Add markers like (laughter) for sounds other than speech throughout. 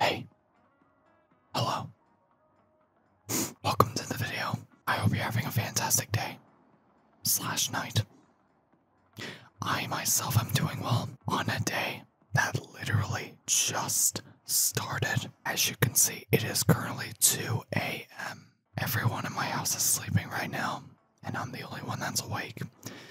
Hey. Hello. Welcome to the video. I hope you're having a fantastic day. Slash night. I myself am doing well on a day that literally just started. As you can see, it is currently 2 a.m. Everyone in my house is sleeping right now, and I'm the only one that's awake.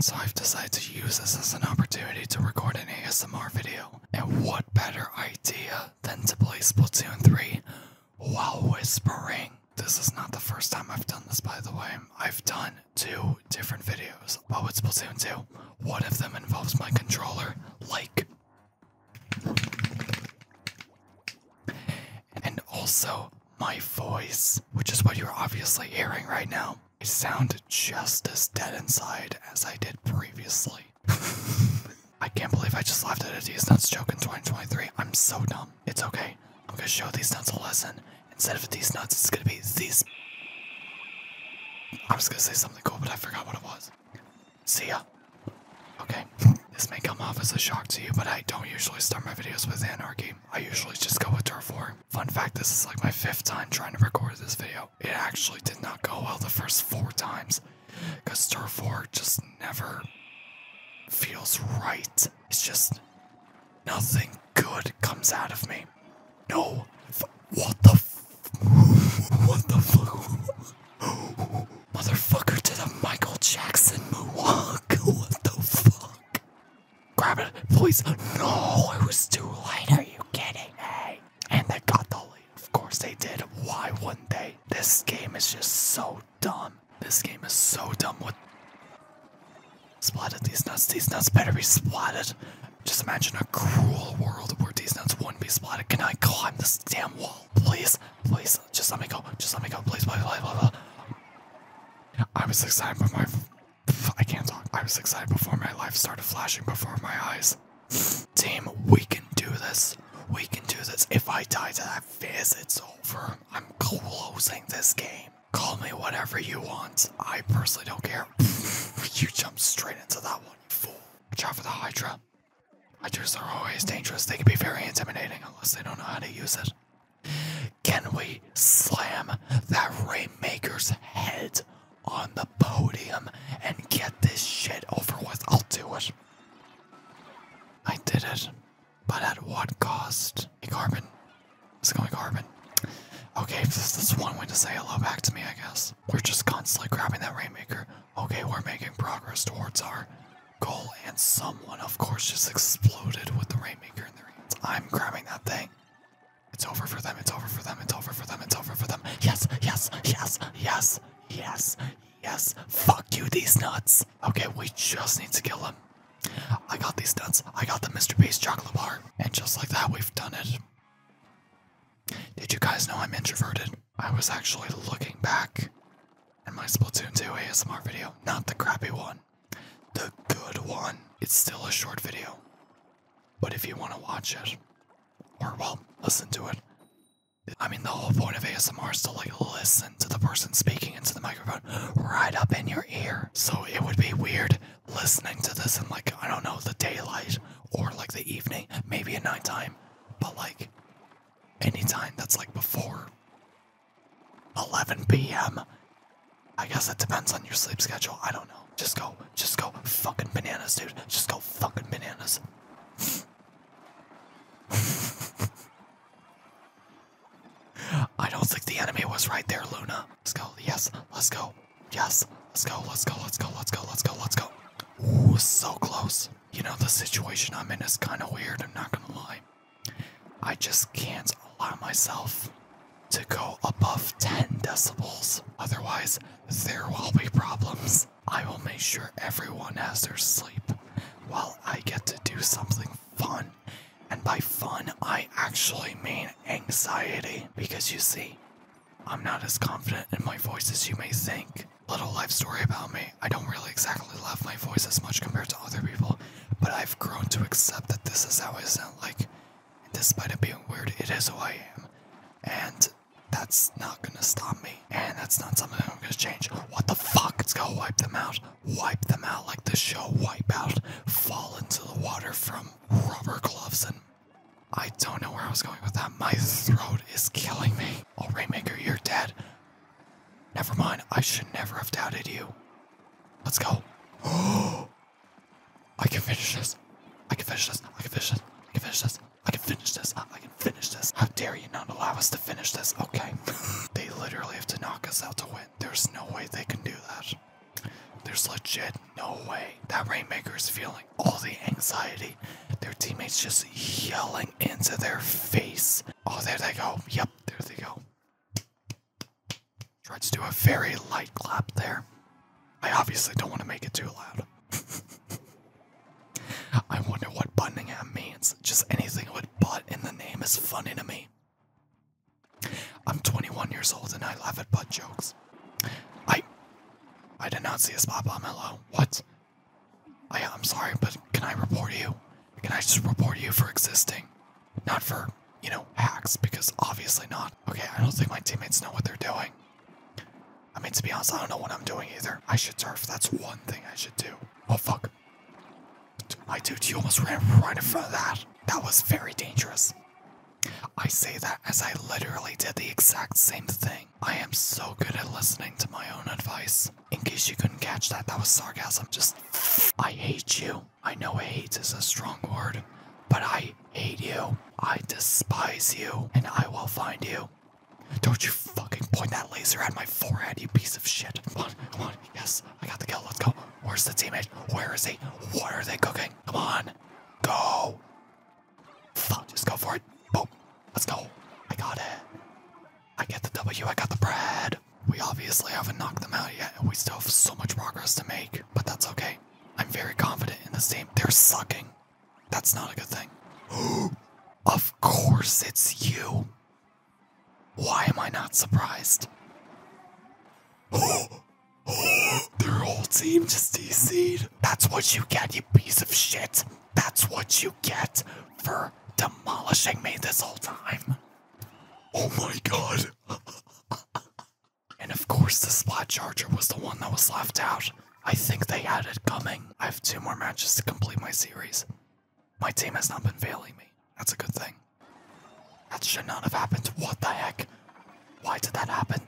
So I've decided to use this as an opportunity to record an ASMR video. And what better idea than to play Splatoon 3 while whispering? This is not the first time I've done this, by the way. I've done two different videos about with Splatoon 2. One of them involves my controller, like. And also my voice, which is what you're obviously hearing right now. I sound just as dead inside as I did previously. (laughs) I can't believe I just laughed at a These Nuts joke in 2023. I'm so dumb. It's okay. I'm gonna show These Nuts a lesson. Instead of These Nuts, it's gonna be These... I was gonna say something cool, but I forgot what it was. See ya. Okay. This may come off as a shock to you, but I don't usually start my videos with anarchy. I usually just go with turf war. Fun fact, this is like my fifth time trying to record this video. It actually did not go well the first four times because Stir 4 just never feels right. It's just nothing good comes out of me. No, what the (laughs) (laughs) (laughs) what the fuck? Motherfucker did a Michael Jackson move? What the fuck? Grab it, please. No, it was too late. Are you kidding me? And they got the lead. Of course they did. Why wouldn't they? This game is just so dumb. This game is so dumb. What? Splatted these nuts. These nuts better be splatted. Just imagine a cruel world where these nuts wouldn't be splatted. Can I climb this damn wall? Please, please, just let me go. Just let me go. Please, please, please, please. I was excited, but my I can't talk. I was excited before my life started flashing before my eyes. Team, we can do this. We can do this. If I die to that fizz, it's over. I'm closing this game. Call me whatever you want. I personally don't care. you jump straight into that one, you fool. Watch out for the Hydra. Hydras are always dangerous. They can be very intimidating unless they don't know how to use it. Can we slam that Raymaker's head on the podium and get this shit over with. I'll do it. I did it. But at what cost? Hey, Carbon. It's going Carbon. Okay, this is one way to say hello back to me, I guess. We're just constantly grabbing that Rainmaker. Okay, we're making progress towards our goal, and someone, of course, just exploded with the Rainmaker in their hands. I'm grabbing that thing. It's over for them. It's over for them. It's over for them. It's over for them. Yes, yes, yes, yes, yes, yes. Fuck you, these nuts. Okay, we just need to kill them. I got these nuts. I got the Mr. Beast chocolate bar. And just like that, we've done it. Did you guys know I'm introverted? I was actually looking back at my Splatoon 2 ASMR video. Not the crappy one, the good one. It's still a short video. But if you want to watch it, or well, listen to it, I mean, the whole point of ASMR is to like listen to the person speaking into the microphone right up in your ear. So it would be weird listening to this in like, I don't know, the daylight or like the evening, maybe at nighttime, but like anytime that's like before 11 p.m. I guess it depends on your sleep schedule. I don't know. Just go, just go fucking bananas, dude. Just go fucking bananas. (laughs) I don't think the enemy was right there, Luna. Let's go. Yes, let's go. Yes, let's go, let's go, let's go, let's go, let's go, let's go. Ooh, so close. You know, the situation I'm in is kind of weird, I'm not gonna lie. I just can't allow myself to go above 10 decibels. Otherwise, there will be problems. I will make sure everyone has their sleep while I get to do something fun. And by fun, I actually mean anxiety. Because you see, I'm not as confident in my voice as you may think. Little life story about me I don't really exactly love my voice as much compared to other people, but I've grown to accept that this is how I sound like Despite it being weird, it is who I am. And that's not gonna stop me. And that's not something I'm gonna change. What the fuck? Let's go wipe them out. Wipe them out like the show Wipe out. Fall into the water from rubber gloves and. I don't know where I was going with that. My throat is killing me. Oh, Rainmaker, you're dead. Never mind. I should never have doubted you. Let's go. (gasps) Oh, I can finish this. I can finish this. I can finish this. I can finish this. I can finish this. I can finish this. How dare you not allow us to finish this? Okay. (laughs) they literally have to knock us out to win. There's no way they can do that. There's legit no way. That Rainmaker is feeling all the anxiety. Their teammates just yelling into their face. Oh, there they go. Yep, there they go. Tried to do a very light clap there. I obviously don't want to make it too loud. (laughs) I wonder what Bunningham means. Just anything with butt in the name is funny to me. I'm 21 years old and I laugh at butt jokes. I I did not see a spot bomb hello. What? I'm sorry, but can I report you? Can I just report you for existing? Not for, you know, hacks, because obviously not. Okay, I don't think my teammates know what they're doing. I mean, to be honest, I don't know what I'm doing either. I should surf. That's one thing I should do. Oh, fuck. My dude, you almost ran right in front of that. That was very dangerous. I say that as I literally did the exact same thing. I am so good at listening to my own advice. In case you couldn't catch that, that was sarcasm. Just, I hate you. I know hate is a strong word, but I hate you. I despise you. And I will find you. Don't you fucking point that laser at my forehead, you piece of shit. Come on, come on. Yes, I got the kill. Let's go. Where's the teammate? Where is he? What are they cooking? Come on. Go. Fuck, just go for it. Boom. Let's go. I got it. I get the W. I got the bread. We obviously haven't knocked them out yet, and we still have so much progress to make, but that's okay. I'm very confident in this team. They're sucking. That's not a good thing. (gasps) of course it's you. Why am I not surprised? (gasps) Their whole team just DC'd. That's what you get, you piece of shit. That's what you get for demolishing me this whole time. Oh my god. (laughs) And of course, the Splat Charger was the one that was left out. I think they had it coming. I have two more matches to complete my series. My team has not been failing me. That's a good thing. That should not have happened. What the heck? Why did that happen?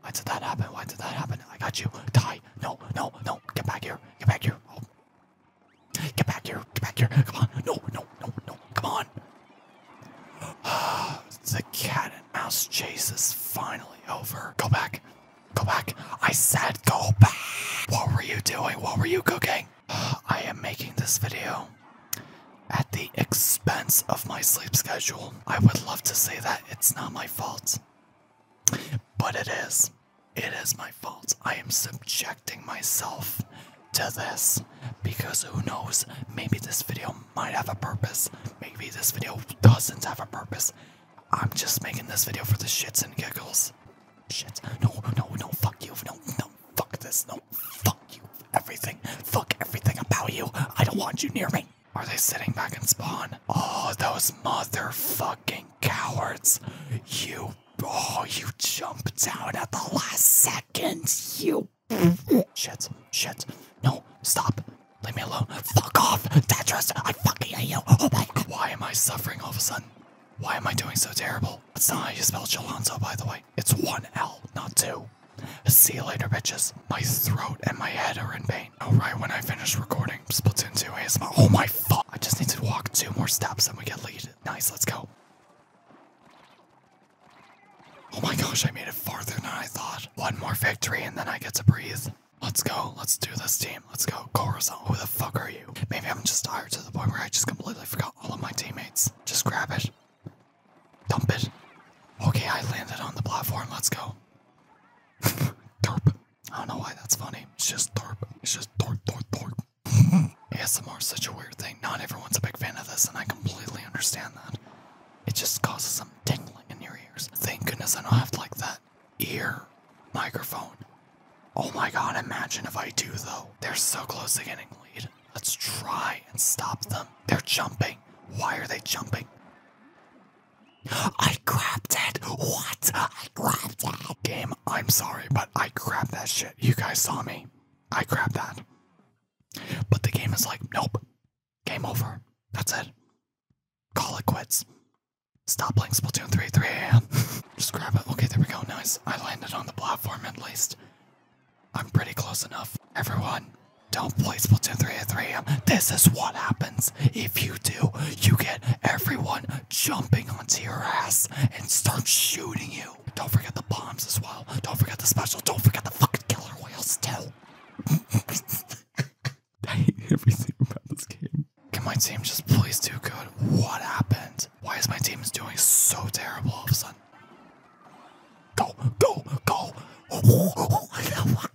Why did that happen? Why did that happen? I got you. Die. No, no, no. Get back here. Get back here. Oh. Get back here. Get back here. Come on. No, no, no, no. Come on. (sighs) the cat and mouse chase is finally over. Go back. Go back. I said go back. What were you doing? What were you cooking? (sighs) I am making this video at the expense of my sleep schedule. I would love to say that it's not my fault, but it is. It is my fault. I am subjecting myself to this because who knows, maybe this video might have a purpose. Maybe this video doesn't have a purpose. I'm just making this video for the shits and giggles. Shit. No, no, no, fuck you. No, no, fuck this. No, fuck you. Everything. Fuck everything about you. I don't want you near me. Are they sitting back and spawn? Oh, those motherfucking cowards. You. Oh, you jumped out at the last second. You Shit. Shit. No. Stop. Leave me alone. Fuck off, Tetris. I fucking hate you. Oh my Why am I suffering all of a sudden? Why am I doing so terrible? That's not how you spell Jalonzo, by the way. It's one L, not two. See you later, bitches. My throat and my head are in pain. All oh, right, when I finish recording, Splatoon 2 ASMR. Oh my fuck. I just need to walk two more steps and we get lead. Nice, let's go. Oh my gosh, I made it farther than I thought. One more victory and then I get to breathe. Let's go. Let's do this, team. Let's go. Corazon. who the fuck are you? Maybe I'm just tired to the point where I just completely forgot all of my teammates. Just grab it. Dump it. Okay, I landed on the platform. Let's go. (laughs) derp. I don't know why that's funny. It's just derp. It's just dorp, dorp, dorp. ASMR (laughs) is such a weird thing. Not everyone's a big fan of this, and I completely understand that. It just causes some tingling in your ears. Thank goodness I don't have to like that ear microphone. Oh my god, imagine if I do though. They're so close to getting lead. Let's try and stop them. They're jumping. Why are they jumping? I grabbed it! What? I grabbed it! Game, I'm sorry, but I grabbed that shit. You guys saw me. I grabbed that. But the game is like, nope, Game over. That's it. Call it quits. Stop playing Splatoon 3 3 a.m. (laughs) Just grab it. Okay, there we go. Nice. I landed on the platform at least. I'm pretty close enough. Everyone, don't play Splatoon 3 at 3 a.m. This is what happens. If you do, you get everyone jumping onto your ass and start shooting you. Don't forget the bombs as well. Don't forget the special. Don't forget the fucking killer whales too. (laughs) (laughs) I hate everything about this game. Can my team just please do good? What happened? Why is my team doing so terrible all of a sudden? Go, go, (laughs)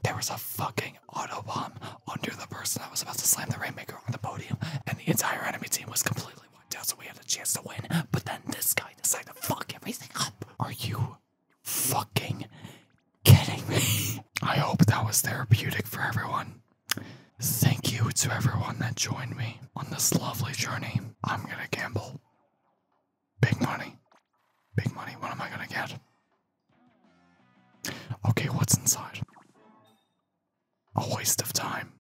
There was a fucking auto bomb under the person I was about to slam the Rainmaker on the podium, and the entire enemy team was completely wiped out, so we had a chance to win. But then this guy decided to fuck everything up. Are you fucking kidding me? (laughs) I hope that was therapeutic for everyone. Thank you to everyone that joined me on this lovely journey. I'm gonna gamble. Big money. Big money. What am I gonna get? Okay, what's inside? A waste of time.